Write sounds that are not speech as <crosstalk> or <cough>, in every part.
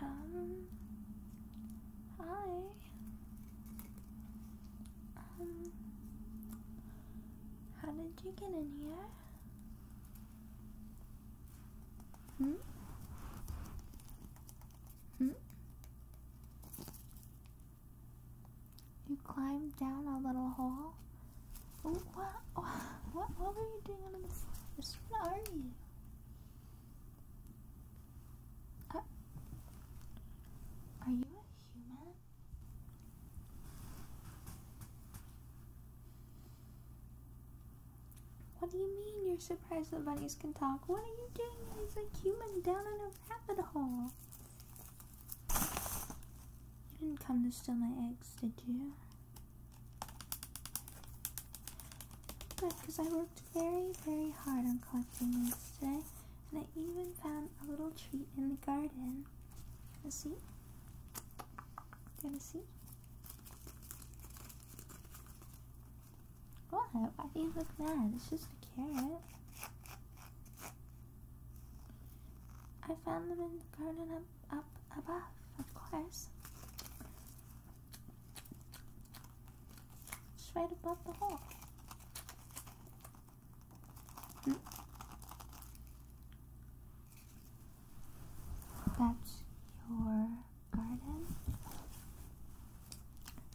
Um, hi. Um, how did you get in here? Hmm? Hmm? You climbed down a little hole? Oh, what, what, were you doing under the floor? Which are you? Uh, are you a human? What do you mean you're surprised that bunnies can talk? What are you doing as a human down in a rabbit hole? You didn't come to steal my eggs, did you? Good, because I worked very, very hard on collecting eggs today, and I even found a little treat in the garden. You see? You gonna see? What? Why do you look mad? It's just a carrot. I found them in the garden up above, of course. It's right above the hole. Hmm. That's your garden.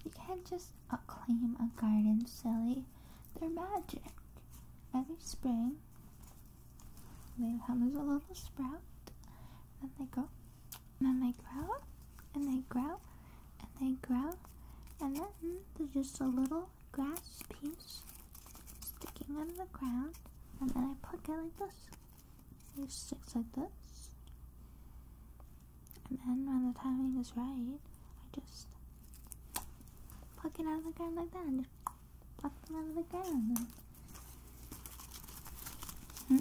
You can't just claim a garden, silly. They're magic. Every spring, they come as a little sprout. Then they grow. And then they grow. And they grow. And they grow. And then there's just a little grass piece sticking out of the ground. And then I pluck it like this. It sticks like this. And then when the timing is right, I just pluck it out of the ground like that. Hmm?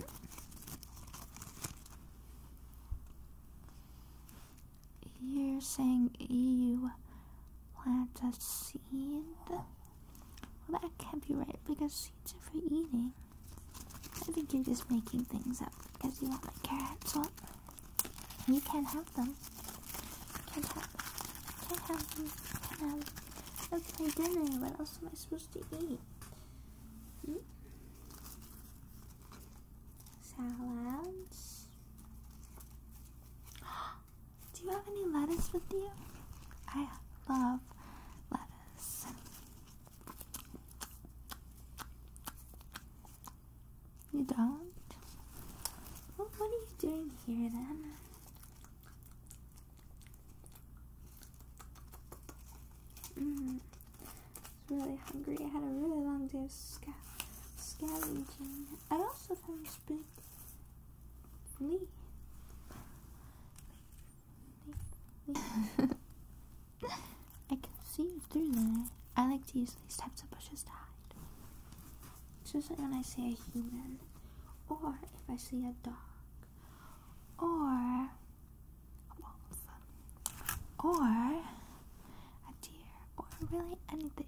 You're saying you plant a seed? Well, that can't be right because seeds are for eating. I think you're just making things up because you want my carrots up. You can't have them. Can't have them. Can't have them. Can't have them. That's my dinner. What else am I supposed to eat? Hmm? Salads. <gasps> Do you have any lettuce with you? I love lettuce. You don't? what are you doing here then? Mm. I am really hungry. I had a really long day of scavenging. I also found this big flea. I can see you through there. I like to use these types of bushes to hide just like when I see a human, or if I see a dog, or a wolf, or a deer, or really anything.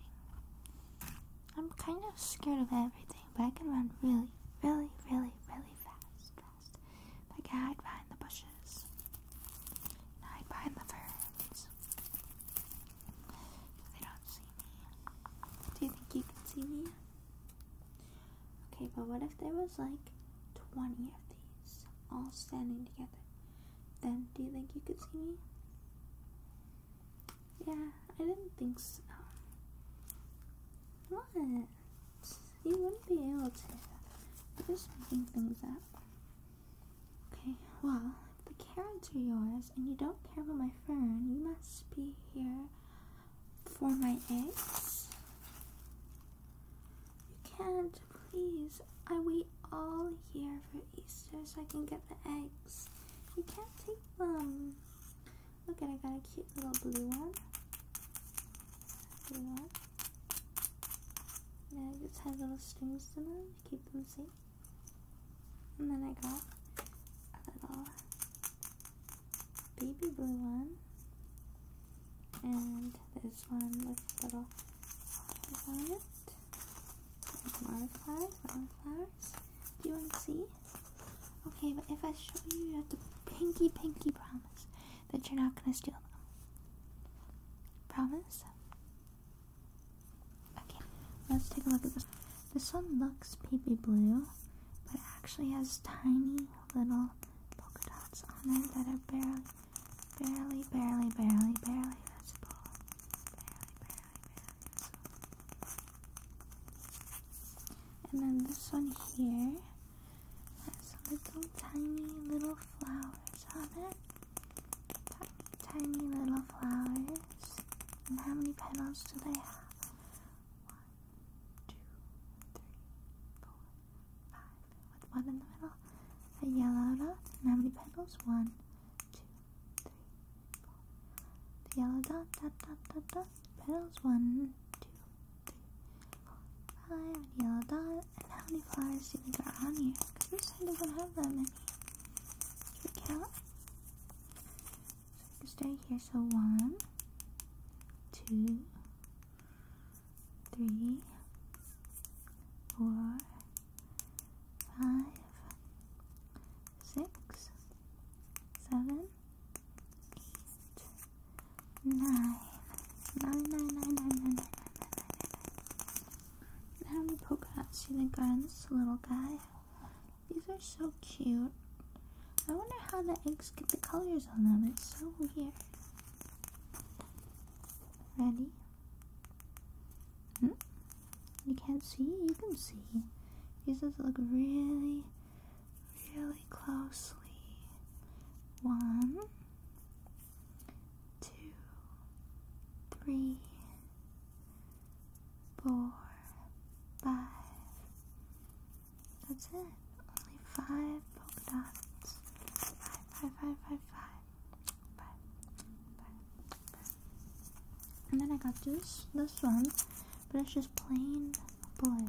I'm kind of scared of everything, but I can run really, really, really, really fast, fast. Like I hide behind the bushes, and hide behind the ferns, they don't see me. Do you think you could see me? Okay, but what if there was like 20 of these all standing together? Then do you think you could see me? Yeah, I didn't think so. What? You wouldn't be able to. just making things up. Okay, well, the carrots are yours and you don't care about my fern, you must be here for my eggs. You can't, please. I wait all year for Easter so I can get the eggs. You can't take them. Look at I got a cute little blue one. Yeah, it just has little strings to them to keep them safe. And then I got a little baby blue one. And this one with little flowers on flowers, flowers. Do you want to see? Okay, but if I show you, you have to pinky, pinky promise that you're not going to steal them. Promise? Okay, let's take a look at this. This one looks baby blue, but it actually has tiny little polka dots on it that are barely, barely, barely, barely, barely visible. And then this one here has little tiny little flowers on it tiny little flowers. And how many petals do they have? One, two, three, four, five. With one in the middle, a yellow dot. And how many petals? One, two, three, four. The yellow dot, dot, dot, dot, dot. Petals. One, two, three, four, five. Yellow dot. And how many flowers do you think are on here? Because this side doesn't have that many. Your ear. So stay here. So one, two, three, four, five, six, seven, eight, nine. How many dots do Harry Pokats, on this little guy. These are so cute. I wonder how the eggs get the colors on them. It's so weird. Ready? Hmm? You can't see? You can see. These just look really, really closely. One, two, three, four, five. That's it. Only five polka dots. Five, five, five, five, And then I got this, this one, but it's just plain blue. Blue,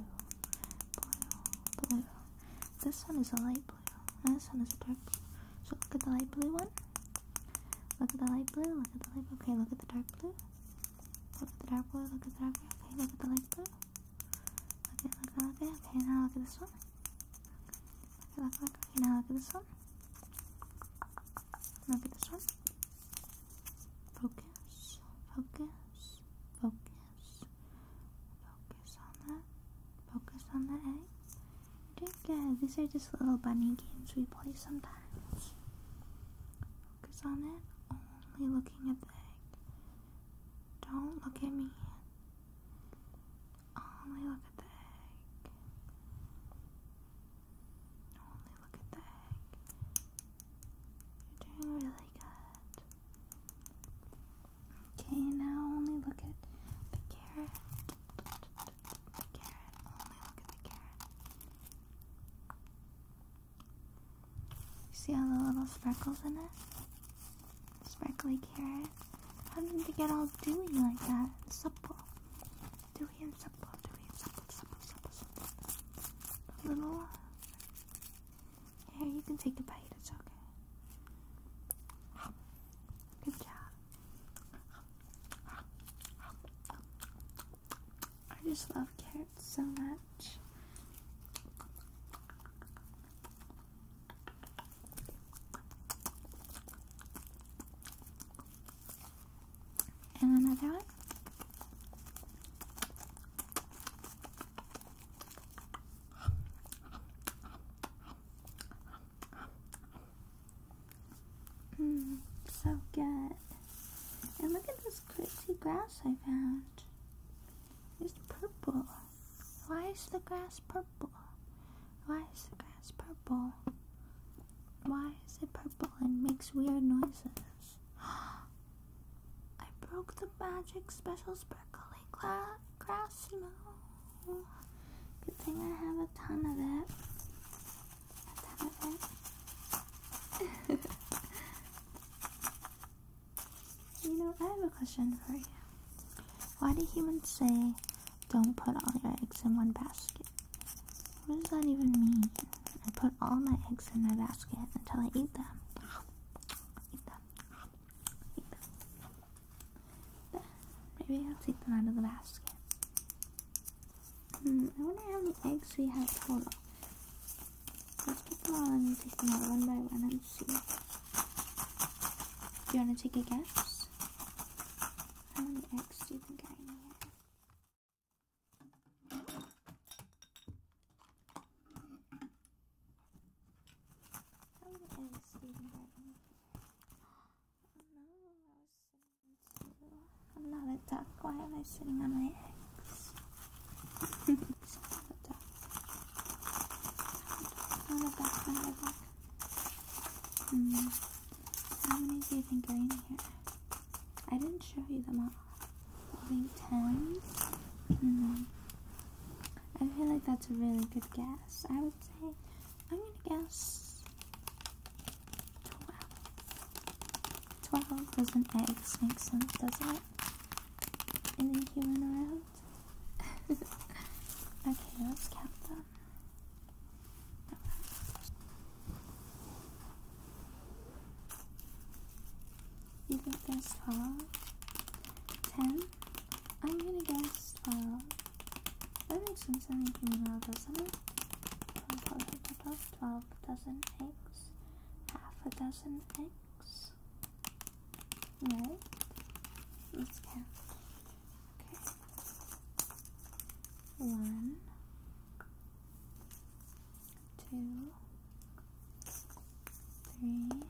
blue. This one is a light blue this one is dark So look at the light blue one. Look at the light blue. Look at the light Okay, look at the dark blue. Look at the dark blue. Look at the dark blue. Okay, look at the light blue. Look at, look at, look Okay, now look at this one. Look at, look, look. Okay, now look at this one. Look at this one. Focus, focus, focus, focus on that. Focus on the egg. I think these are just little bunny games we play sometimes. Focus on it, only looking at the egg. Don't look at me. Only look at the egg. Only look at the egg. You're doing really good. Okay, now only look at the carrot. The carrot, only look at the carrot. You see all the little speckles in it? Speckly carrot. How did they get all dewy like that? supple. Dewy and supple, dewy and supple, supple, supple, supple. The little. Here, you can take a bite, it's okay. Good job. I just love cats so much. And another one. Mm, so good. And look at this crazy grass I found. It's purple. Why is the grass purple? Why is the grass purple? Why is it purple and makes weird noises? <gasps> I broke the magic special sparkly glass. Grassimo. Good thing I have a ton of it. A ton of it. <laughs> you know, I have a question for you. Why do humans say, don't put all your eggs in one basket? What does that even mean? I put all my eggs in my basket until I eat them. Eat them maybe I'll take them out of the basket. Hmm, I wonder how many eggs we have total. Let's put them all and take them out one by one and see. Do you want to take a guess? How many eggs do you think I have? How many eggs do you think I'm not a duck. Why am I sitting on my eggs? I'm duck. I'm duck. I'm duck. Hmm. How do you think are I didn't show you them all. I think Hmm. I feel like that's a really good guess i am gonna guess twelve. Twelve does an make sense, doesn't it? And human around. <laughs> okay, let's count them. You think there's twelve? Ten? I'm gonna guess, uh, that makes sense. I think you know, doesn't it? Twelve dozen eggs, half a dozen eggs. let's count. Okay, one, two, three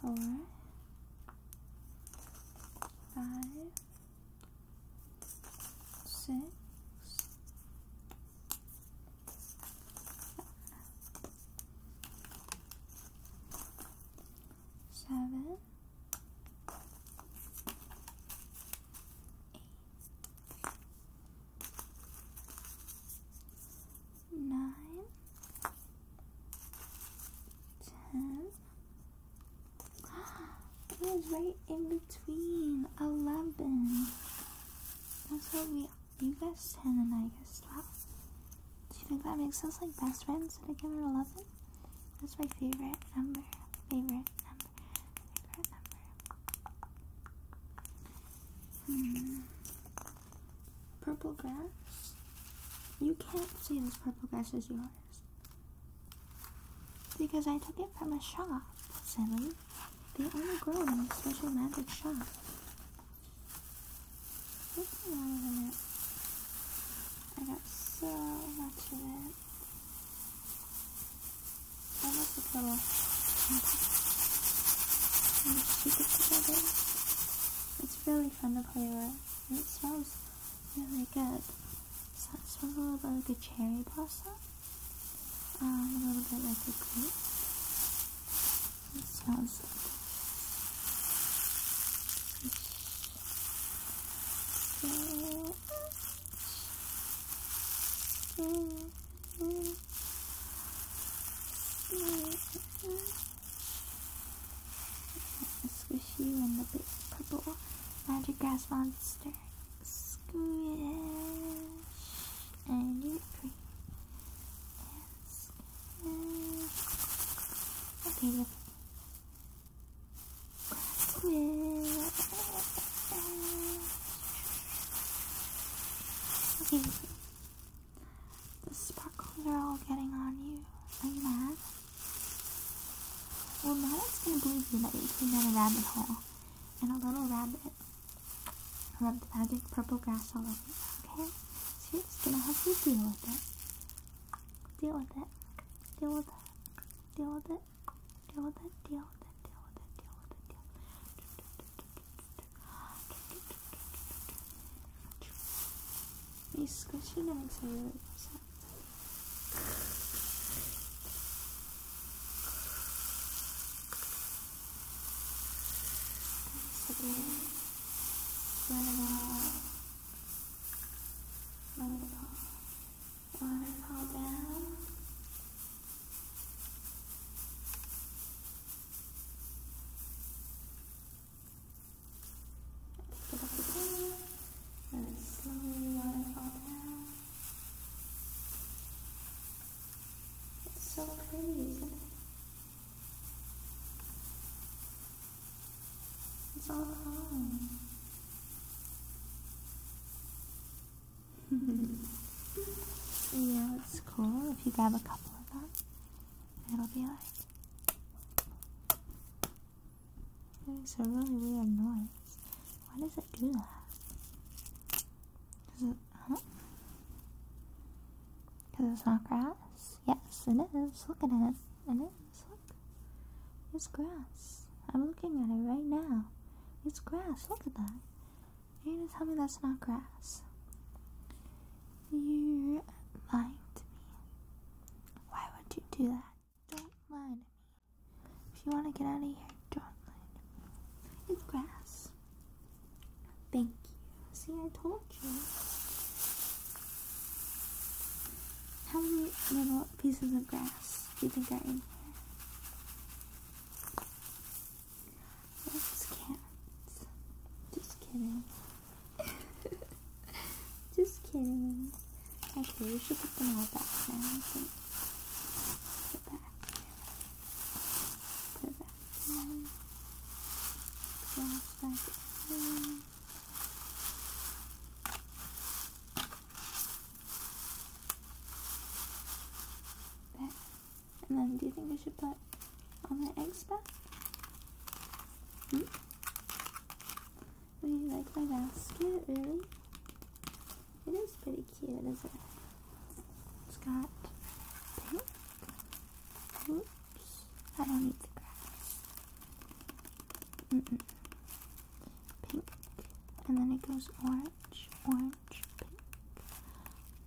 four, five, six, seven, eight, nine, ten. it <gasps> was right in between. Eleven. That's what we. You guessed ten, and I guessed eleven. Do you think that makes us like best friends that I give her eleven? That's my favorite number. Favorite number. Favorite number. Hmm. Purple grass? You can't say this purple grass is yours. Because I took it from a shop, silly. They only grow in a special magic shop. I got so much of it. I love this little... It's really fun to play with, it smells really good. it smells a little bit like a cherry blossom, um, a little bit like a grape. It smells so So mm-hmm. Squishy and the big purple magic grass monster. Squish and you're free. Okay. The sparkles are all getting on you. Are you mad? Well, no one's gonna believe you that you came down a rabbit hole. And a little rabbit rubbed magic purple grass all over you, okay? So you're just gonna help you deal with it. Deal with it. Deal with it. Deal with it. Deal with it. Deal with it. Deal with it. Deal with it. Deal with it. Deal with it. 이 스쿼시 냄새를 되게 많은 Waterfall down and slowly waterfall down. It's so pretty, isn't it? It's all calm. <laughs> yeah, it's cool if you grab a couple of them it'll be like. makes a really weird noise. Why does it do that? it, huh? Because it's not grass? Yes, it is. Look at it. It is. Look. It's grass. I'm looking at it right now. It's grass. Look at that. You're gonna tell me that's not grass. You're lying to me. Why would you do that? Don't lie to me. If you want to get out of here, don't lie to me. It's grass. Thank you. See, I told you. How many little pieces of grass do you think are in here? That's Just kidding. <laughs> Just kidding. Okay, we should put them all back now. Put it Put it back there. Glass back and then do you think I should put all my eggs back? Hmm? Do you like my basket, really? It is pretty cute, isn't it? It's got pink. Oops, I don't need the grass. Mm Pink, and then it goes orange orange, orange, pink,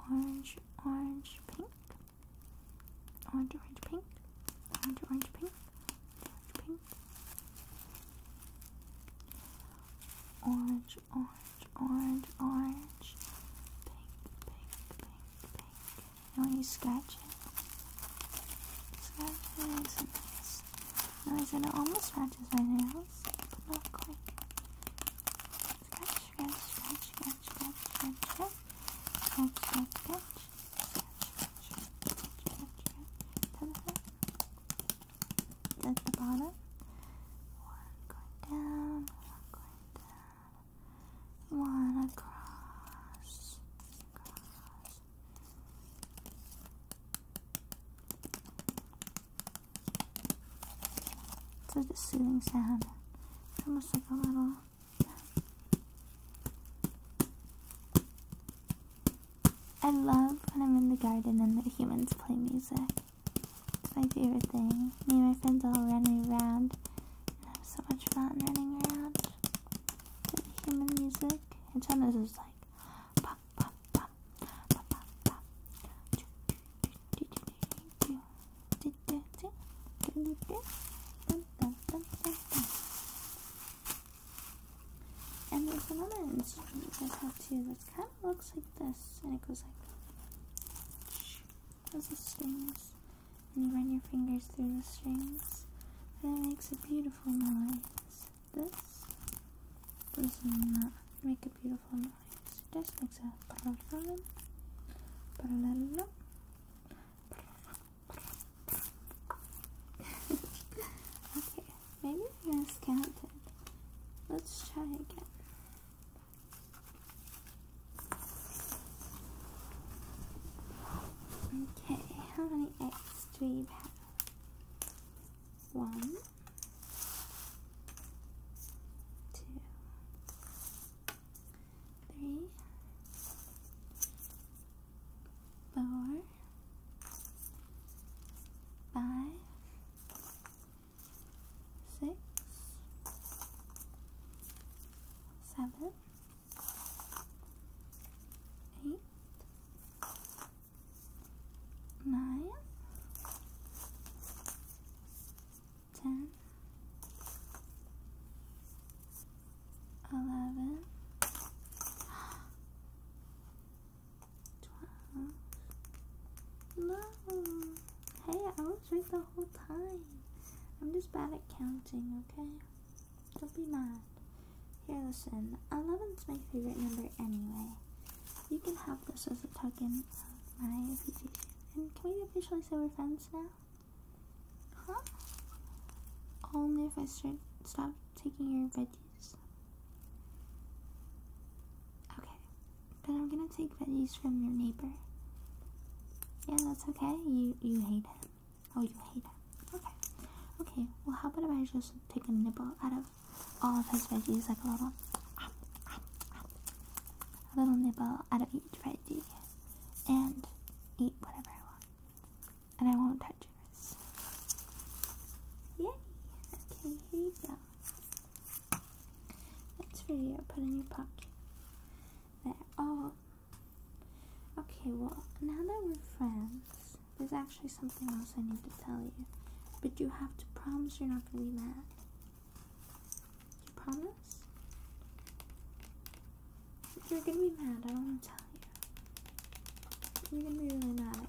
orange, orange, pink, orange, orange, pink, orange, orange, pink, orange, pink, orange, orange, orange, orange, pink, pink, pink, pink. And when you scratch it, scratch it makes a nice noise, and it almost scratches my nails, but not quite. Scratch, scratch, scratch, scratch, scratch, scratch, scratch, scratch, scratch, scratch, at the bottom. One going down, one going down, one across, across. It's like a soothing sound. It's almost like a little. I love when I'm in the garden and the humans play music. It's my favorite thing. Me and my friends all running around and have so much fun running around to the human music. And sometimes it's like and there's another instrument you guys have too that kind of looks like this, and it goes like those the strings, and you run your fingers through the strings, and it makes a beautiful noise. This does not make a beautiful noise. Statistics are parallel, parallel. okay, maybe I miscounted. Let's try again. Okay, how many eggs do we have? One, two, three, four, five, six, seven, eight, nine, ten, eleven, twelve. No, hey, I was right the whole time. I'm just bad at counting, okay? Don't be mad. Here, listen. Eleven's my favorite number anyway. You can have this as a token of my appreciation. And can we officially say we're friends now? Huh? Only if I start, stop taking your veggies. Okay. Then I'm gonna take veggies from your neighbor. Yeah, that's okay. You you hate him. Oh, you hate him. Okay. Okay, well how about if I just take a nibble out of all of his veggies, like a little, a little nibble out of each veggie, and eat whatever I want, and I won't touch yours. Yay! Okay, here you go. That's for Put in your pocket. There. Oh. Okay. Well, now that we're friends, there's actually something else I need to tell you. But you have to promise you're not gonna be mad. You promise? You're gonna be mad, I don't wanna tell you. You're gonna be really mad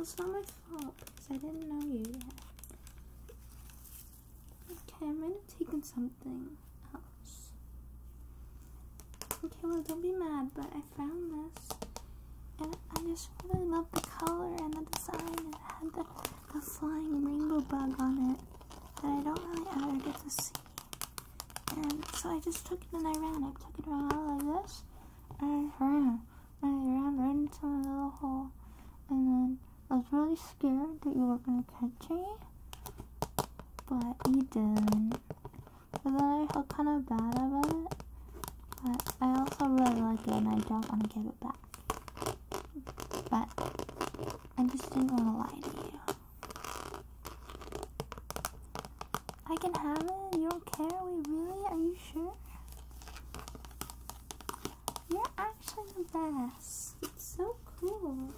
it's not my fault because I didn't know you yet. Okay, I might have taken something else. Okay, well, don't be mad, but I found this and I just really love the color and the design. It had the, the flying rainbow bug on it that I don't really ever get to see. And so I just took it and I ran. I took it around like this, and ran. And I ran right into my little hole. And then I was really scared that you were going to catch me, but you didn't. But I felt kind of bad about it. But I also really like it and I don't want to give it back. But I just didn't want to lie to you. I can have it. You don't care. We really? Are you sure? You're actually the best. It's so cool.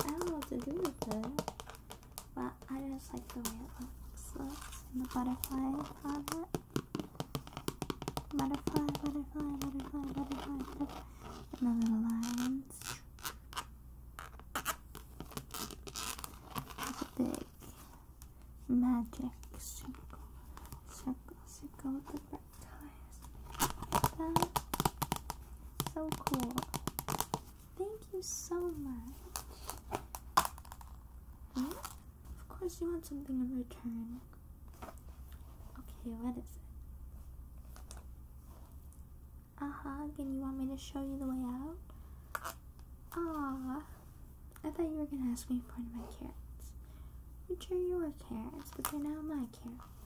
I don't know what to do with it. But I just like the way it looks. Looks in the butterfly on it. Butterfly, butterfly, butterfly, butterfly, butterfly. And the little lines. It's a big magic circle. Circle, circle with the bright tires. That's so cool. Thank you so much. Mm -hmm. Of course, you want something in return. Okay, what is it? A hug, and you want me to show you the way out? Ah, I thought you were gonna ask me for my carrots, which are your carrots, but they're now my carrots.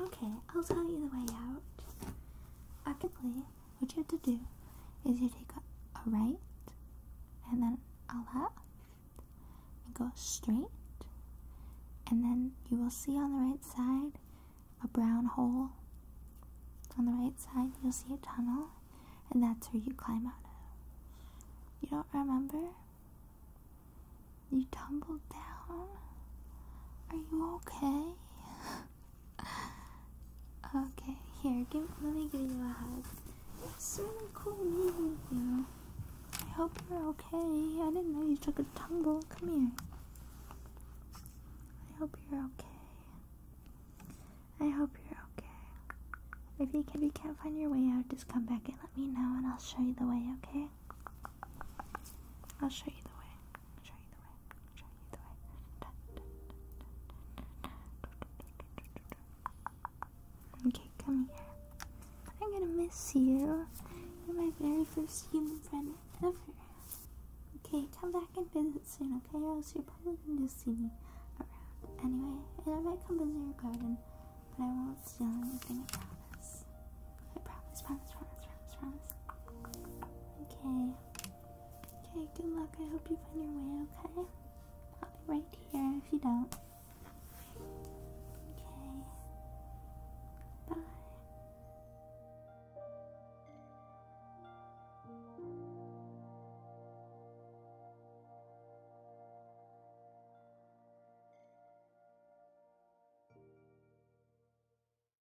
Okay, I'll tell you the way out. I can play what you have to do is you take a, right and then a left and go straight and then you will see on the right side a brown hole on the right side you'll see a tunnel and that's where you climb out of you don't remember you tumbled down are you okay <laughs> okay, here, let me give you a hug. It's really cool meeting you. I hope you're okay. I didn't know you took a tumble. Come here. I hope you're okay. I hope you're okay. if you can't find your way out, just come back and let me know, and I'll show you the way, okay? I'll show you the way. Okay, come here. I'm gonna miss you. You're my very first human friend ever. Okay, come back and visit soon, okay? Or else you're probably gonna see me around. Anyway, and I might come visit your garden, but I won't steal anything, I promise. I promise, promise, promise, promise, promise. Okay. Okay, good luck. I hope you find your way, okay? I'll be right here if you don't. Okay. Bye.